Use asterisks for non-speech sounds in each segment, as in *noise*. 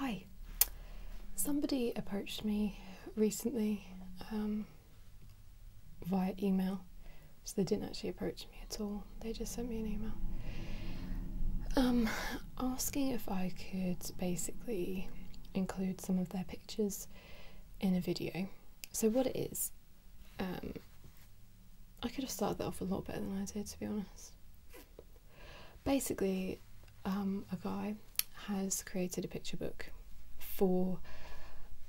Hi. Somebody approached me recently um, via email. So they didn't actually approach me at all. They just sent me an email um, asking if I could basically include some of their pictures in a video. So what it is, um, I could have started that off a lot better than I did, to be honest. Basically, um, a guy has created a picture book for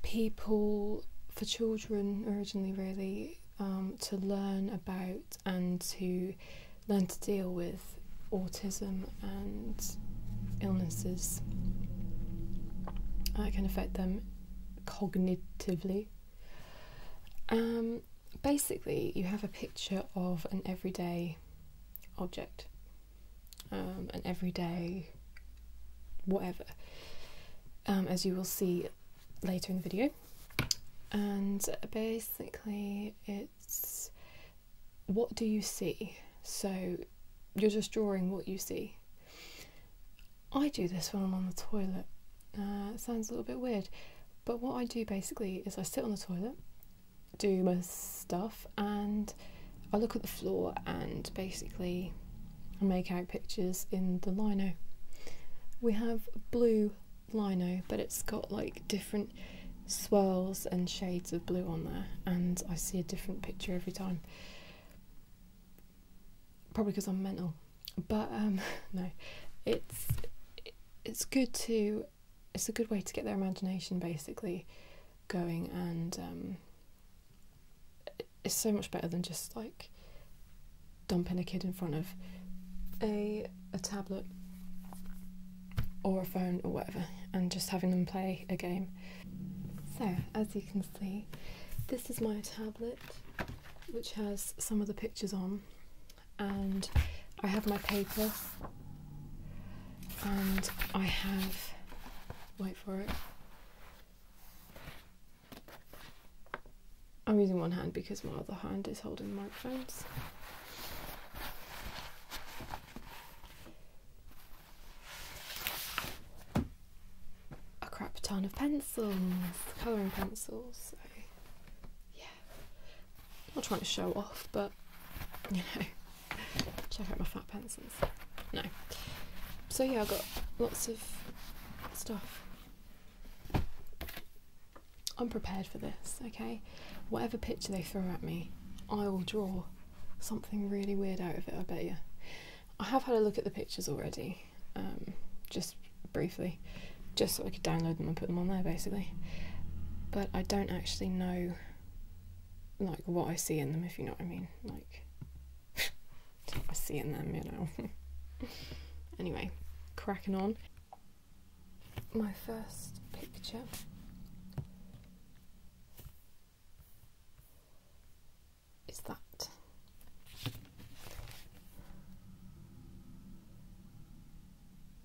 people, for children originally, really, um, to learn about and to learn to deal with autism and illnesses that can affect them cognitively. Um, basically, you have a picture of an everyday object, um, an everyday whatever, um, as you will see later in the video. And basically, it's what do you see? So you're just drawing what you see. I do this when I'm on the toilet. Uh, sounds a little bit weird, but what I do basically is I sit on the toilet, do my stuff, and I look at the floor and basically make out pictures in the lino. We have blue lino, but it's got like different swirls and shades of blue on there, and I see a different picture every time. Probably because I'm mental, but um, *laughs* no, it's it's good to it's a good way to get their imagination basically going and um, it's so much better than just like dumping a kid in front of a a tablet or a phone or whatever and just having them play a game so as you can see this is my tablet which has some of the pictures on and I have my paper and I have wait for it I'm using one hand because my other hand is holding the microphones a crap ton of pencils colouring pencils yeah not trying to show off, but *laughs* you know, check out my fat pencils. No. So yeah, I got lots of stuff. I'm prepared for this, okay? Whatever picture they throw at me, I will draw something really weird out of it, I bet you. I have had a look at the pictures already, um, just briefly, just so I could download them and put them on there basically. But I don't actually know like what I see in them if you know what I mean. Like *laughs* I see in them, you know. *laughs* anyway, cracking on. My first picture. Is that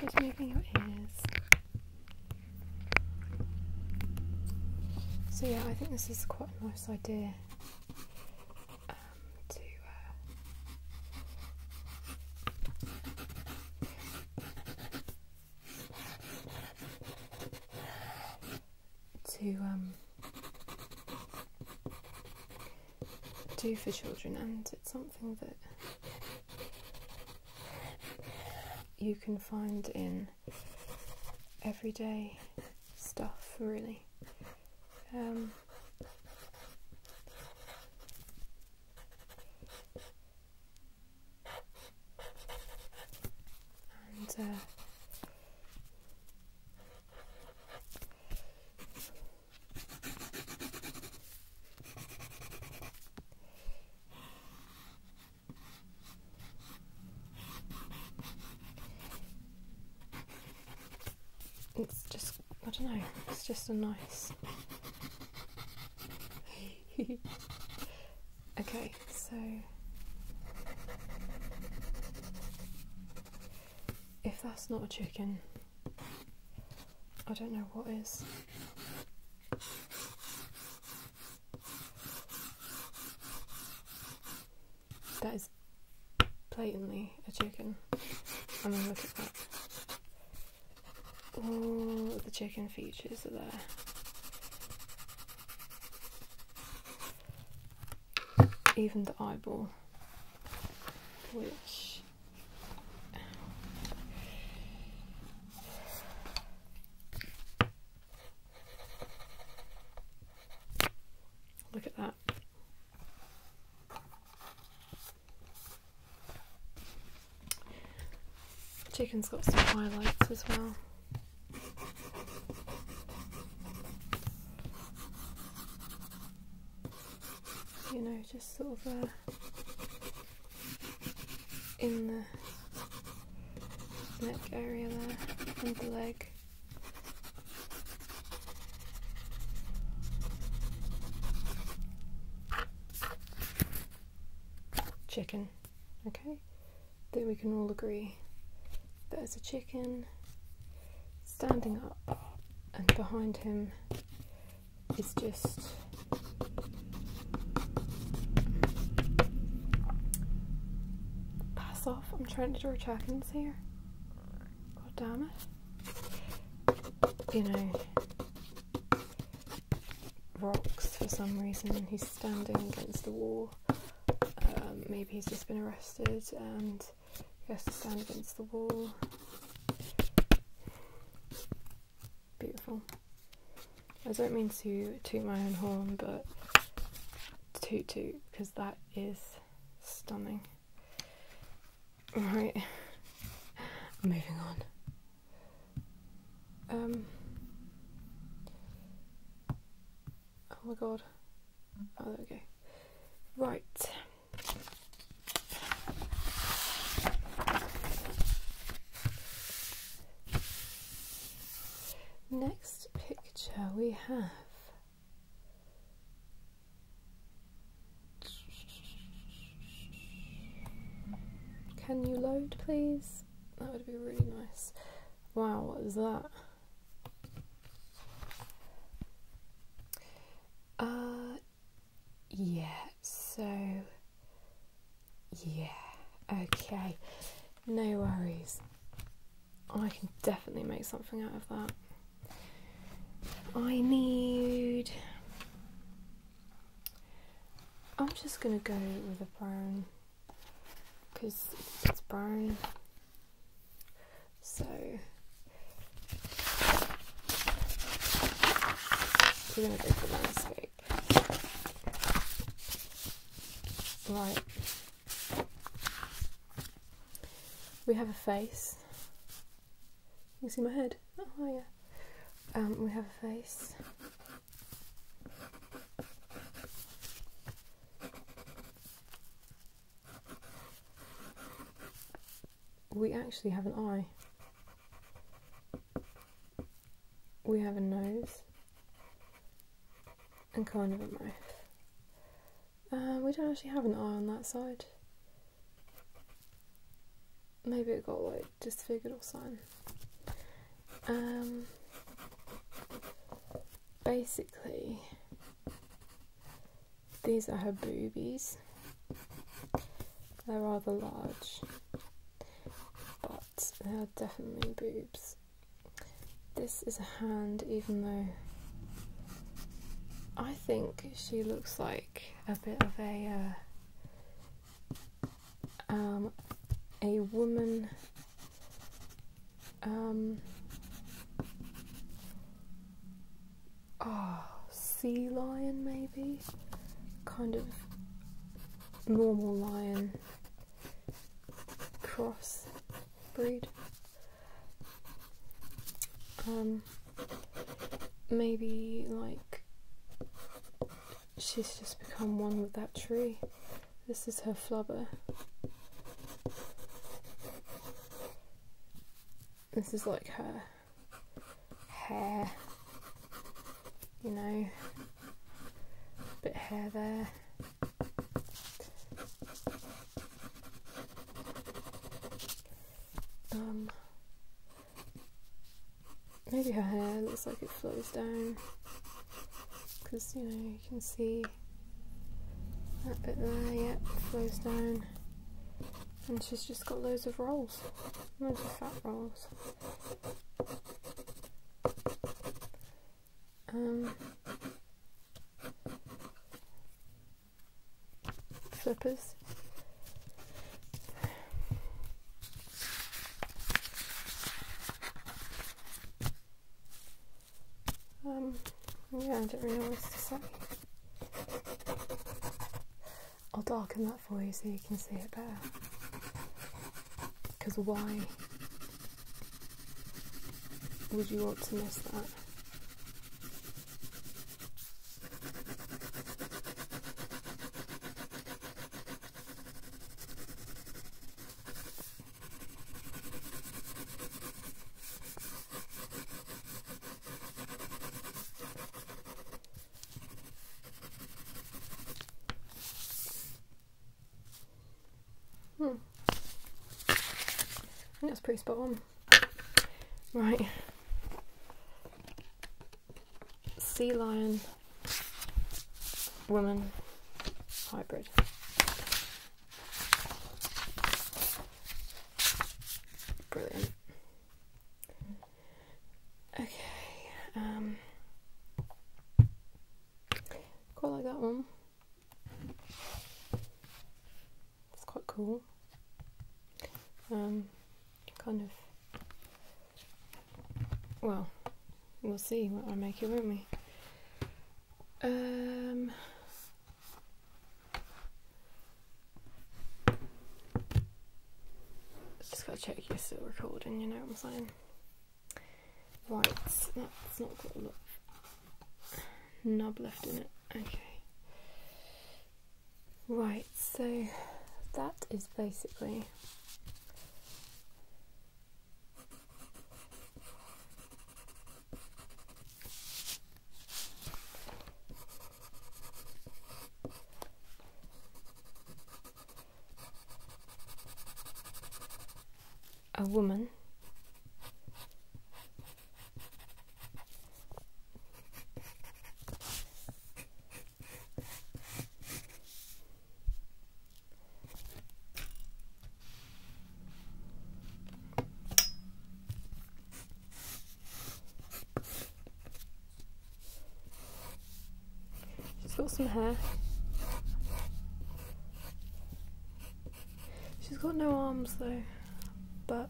Just moving your ears. So yeah, I think this is quite a nice idea um, to uh, to um, do for children, and it's something that you can find in everyday stuff, really. Um, and uh, it's just, I don't know, it's just a nice. *laughs* okay, so. If that's not a chicken, I don't know what is. That is blatantly a chicken. I mean, look at that. All the chicken features are there. even the eyeball, which Look at that. Chicken's got some highlights as well you know, just sort of uh, in the neck area there and the leg. Chicken, okay? That we can all agree There's a chicken standing up and behind him it's just pass off. I'm trying to George Atkins here. God damn it. You know, rocks for some reason. He's standing against the wall. Um, maybe he's just been arrested and he has to stand against the wall. Beautiful. I don't mean to toot my own horn, but toot toot because that is stunning. Right, *laughs* moving on. Um. Oh my god. Oh, there we go. Right. Next picture we have Can you load please? That would be really nice. Wow, what is that? Uh yeah so yeah okay no worries I can definitely make something out of that I need I'm just gonna go with a brown because it's brown so we Right. We have a face. You can see my head. Oh, oh yeah. Um, we have a face we actually have an eye. We have a nose and kind of a mouth. Uh, we don't actually have an eye on that side. Maybe it got like disfigured or something. Um, basically, these are her boobies. They're rather large, but they are definitely boobs. This is a hand, even though I think she looks like a bit of a uh, um, a woman um, oh, sea lion maybe? Kind of normal lion cross breed. Um, maybe like she's just become one with that tree. This is her flubber. This is like her hair, you know, bit of hair there. Um, maybe her hair looks like it flows down because you know you can see that bit there, yep, flows down, and she's just got loads of rolls rolls. rolls. Um, flippers. Um, yeah, I don't really know what else to say. I'll darken that for you so you can see it better. Because why would you want to miss that? Hmm. that's pretty spot on. Right. Sea lion woman hybrid. Brilliant. Okay, um, quite like that one. It's quite cool. Um, kind of. Well, we'll see what I make it, won't we? Um, just gotta check you're still recording, you know what I'm saying? Right, that's not got a lot nub left in it. Okay. Right, so that is basically a woman She's got some hair. She's got no arms though, but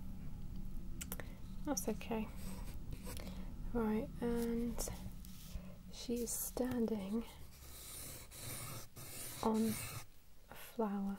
that's okay. Right, and she is standing on a flower.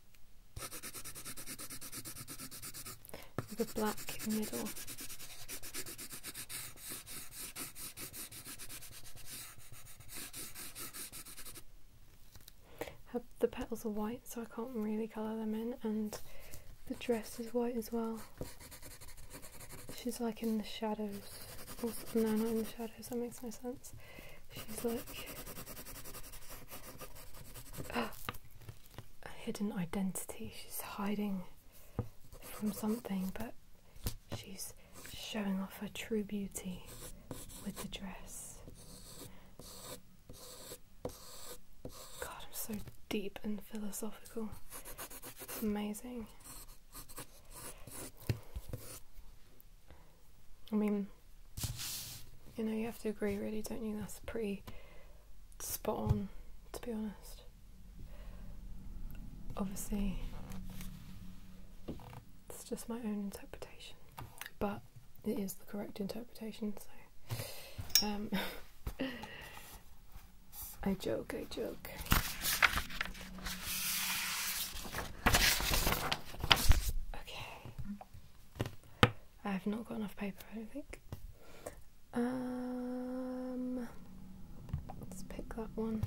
The black middle. the petals are white, so I can't really colour them in, and the dress is white as well. She's like in the shadows. no, not in the shadows, that makes no sense. She's like ah, a hidden identity. She's hiding from something, but she's showing off her true beauty with the dress. God, I'm so deep and philosophical. It's amazing. I mean, you know, you have to agree, really, don't you? That's pretty spot on, to be honest. Obviously, it's just my own interpretation, but it is the correct interpretation, so. Um, *laughs* I joke, I joke. Okay. I have not got enough paper, I don't think. Um, let's pick that one.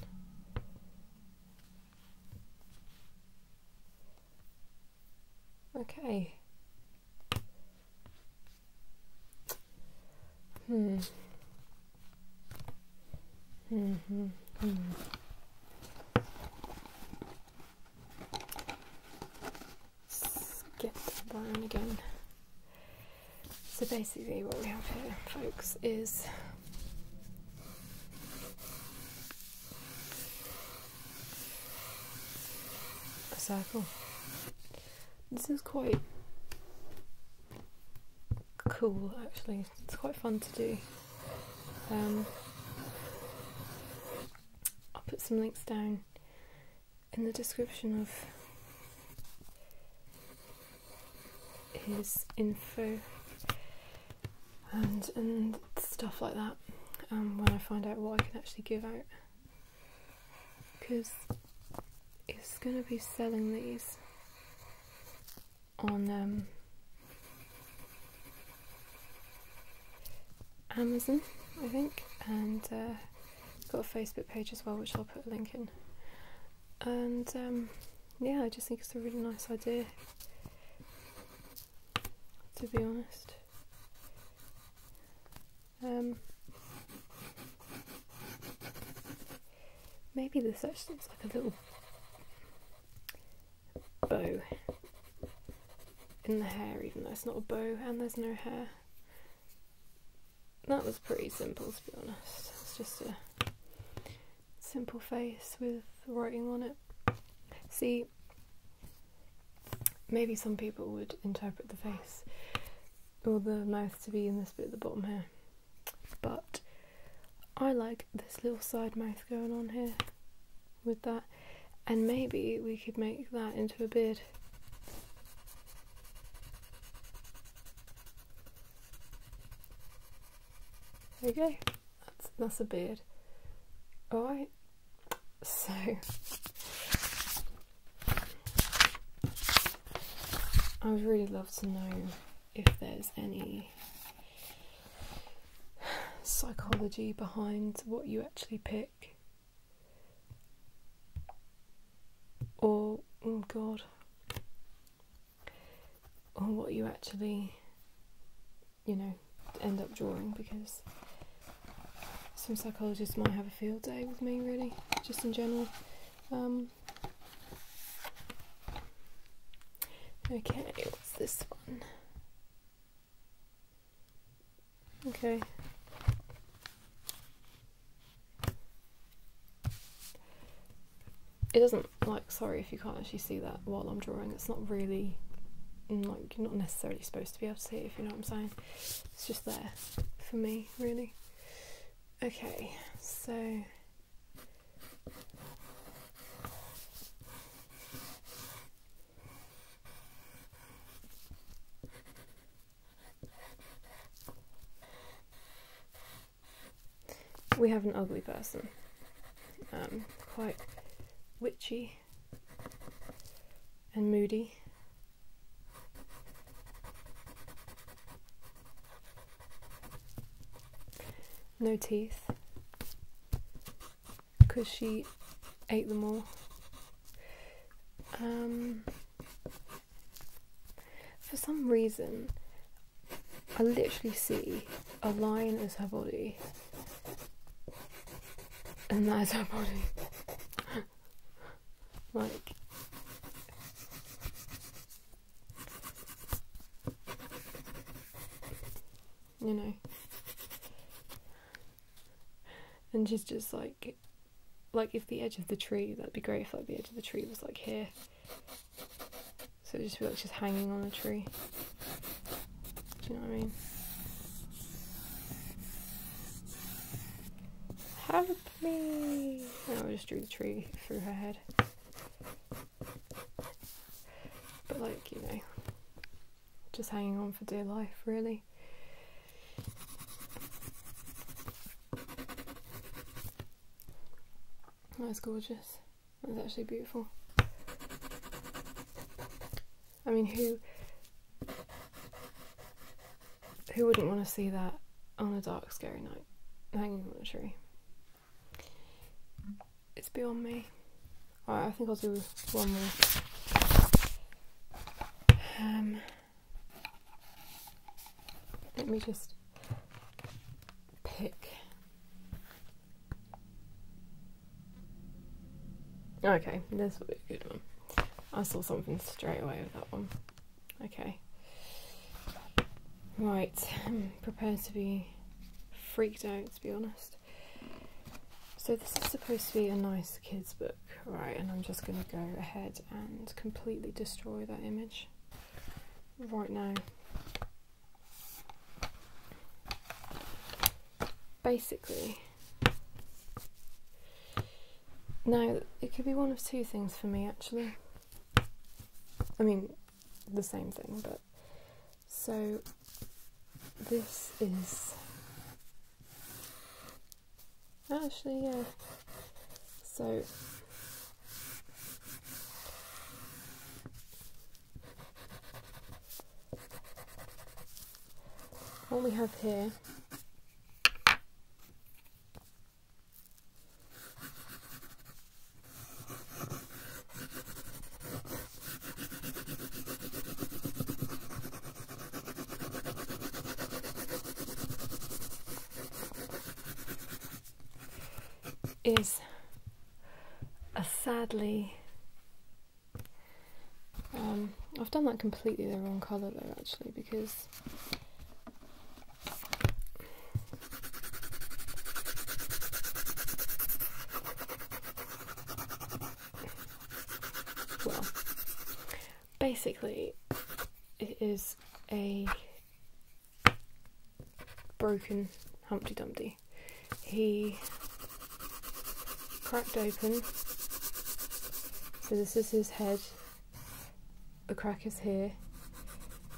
Okay. Hmm. Mm-hmm. Hmm. Hmm let get the barn again. So basically what we have here, folks, is a circle. This is quite cool actually, it's quite fun to do. Um, I'll put some links down in the description of his info and and stuff like that um, when I find out what I can actually give out because he's going to be selling these on um, Amazon, I think, and uh, got a Facebook page as well, which I'll put a link in. And um, yeah, I just think it's a really nice idea, to be honest. Um, maybe this actually looks like a little bow in the hair, even though it's not a bow and there's no hair. That was pretty simple to be honest. It's just a simple face with writing on it. See, maybe some people would interpret the face or the mouth to be in this bit at the bottom here, but I like this little side mouth going on here with that and maybe we could make that into a beard. There we go, that's, that's a beard. Alright, so I would really love to know if there's any psychology behind what you actually pick. Or, oh God, or what you actually, you know, end up drawing because some psychologists might have a field day with me, really, just in general. Um, okay, what's this one? Okay. It doesn't, like, sorry if you can't actually see that while I'm drawing, it's not really, mm, like, you're not necessarily supposed to be able to see it, if you know what I'm saying. It's just there for me, really. Okay, so we have an ugly person. Um, quite witchy and moody. No teeth because she ate them all. Um, for some reason, I literally see a lion as her body, and that is her body. *laughs* like, you know. And she's just like, like if the edge of the tree, that'd be great if like the edge of the tree was like here. So it just feels like she's hanging on the tree. Do you know what I mean? Help me! Oh, I just drew the tree through her head but like you know just hanging on for dear life really that's gorgeous that's actually beautiful i mean who who wouldn't want to see that on a dark scary night hanging on a tree it's beyond me. Alright, I think I'll do one more. Um, let me just pick. Okay, this will be a good one. I saw something straight away with that one. Okay. Right, I'm um, prepared to be freaked out to be honest. So, this is supposed to be a nice kids' book, right? And I'm just going to go ahead and completely destroy that image right now. Basically, now it could be one of two things for me actually. I mean, the same thing, but so this is actually yeah. So what we have here is a sadly um, I've done that completely the wrong colour though actually because well, basically, it is a broken Humpty Dumpty. He cracked open. So, this is his head. The crack is here.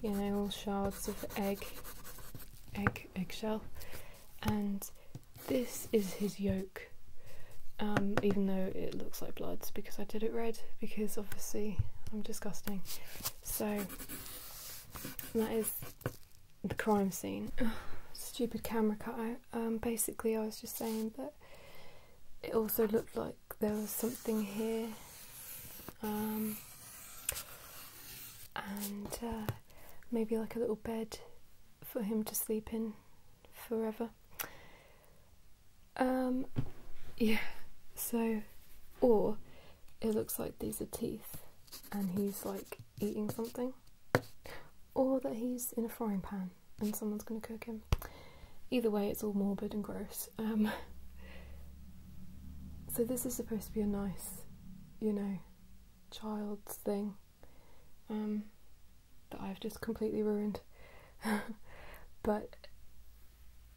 You know, all shards of egg, egg, eggshell and this is his yoke um, even though it looks like blood's because I did it red because obviously I'm disgusting so that is the crime scene *sighs* stupid camera cut out um, basically I was just saying that it also looked like there was something here um, and uh, maybe like a little bed for him to sleep in forever. Um, yeah, so, or it looks like these are teeth and he's like eating something, or that he's in a frying pan and someone's gonna cook him. Either way, it's all morbid and gross. Um, *laughs* so, this is supposed to be a nice, you know, child's thing um, that I've just completely ruined. *laughs* but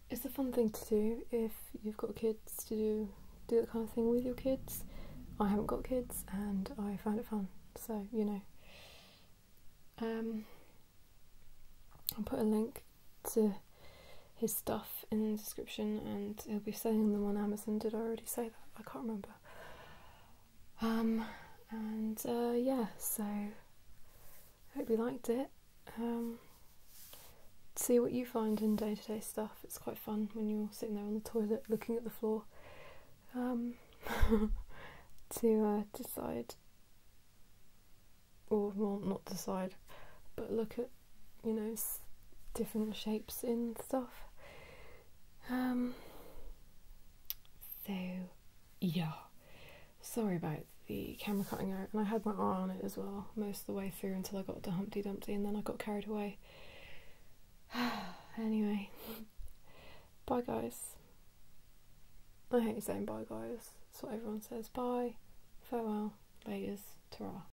it's a fun thing to do if you've got kids to do that kind of thing with your kids. I haven't got kids and I found it fun, so you know. Um, I'll put a link to his stuff in the description, and he'll be selling them on Amazon. Did I already say that? I can't remember. Um, and uh, yeah, so I hope you liked it. Um, see what you find in day to day stuff. It's quite fun when you're sitting there on the toilet looking at the floor um, *laughs* to uh, decide, or well, not decide, but look at you know, different shapes in stuff. Um, so, yeah. Sorry about the camera cutting out, and I had my eye on it as well most of the way through until I got to Humpty Dumpty, and then I got carried away. *sighs* anyway, *laughs* bye guys. I hate saying bye guys, So everyone says. Bye, farewell, laters, ta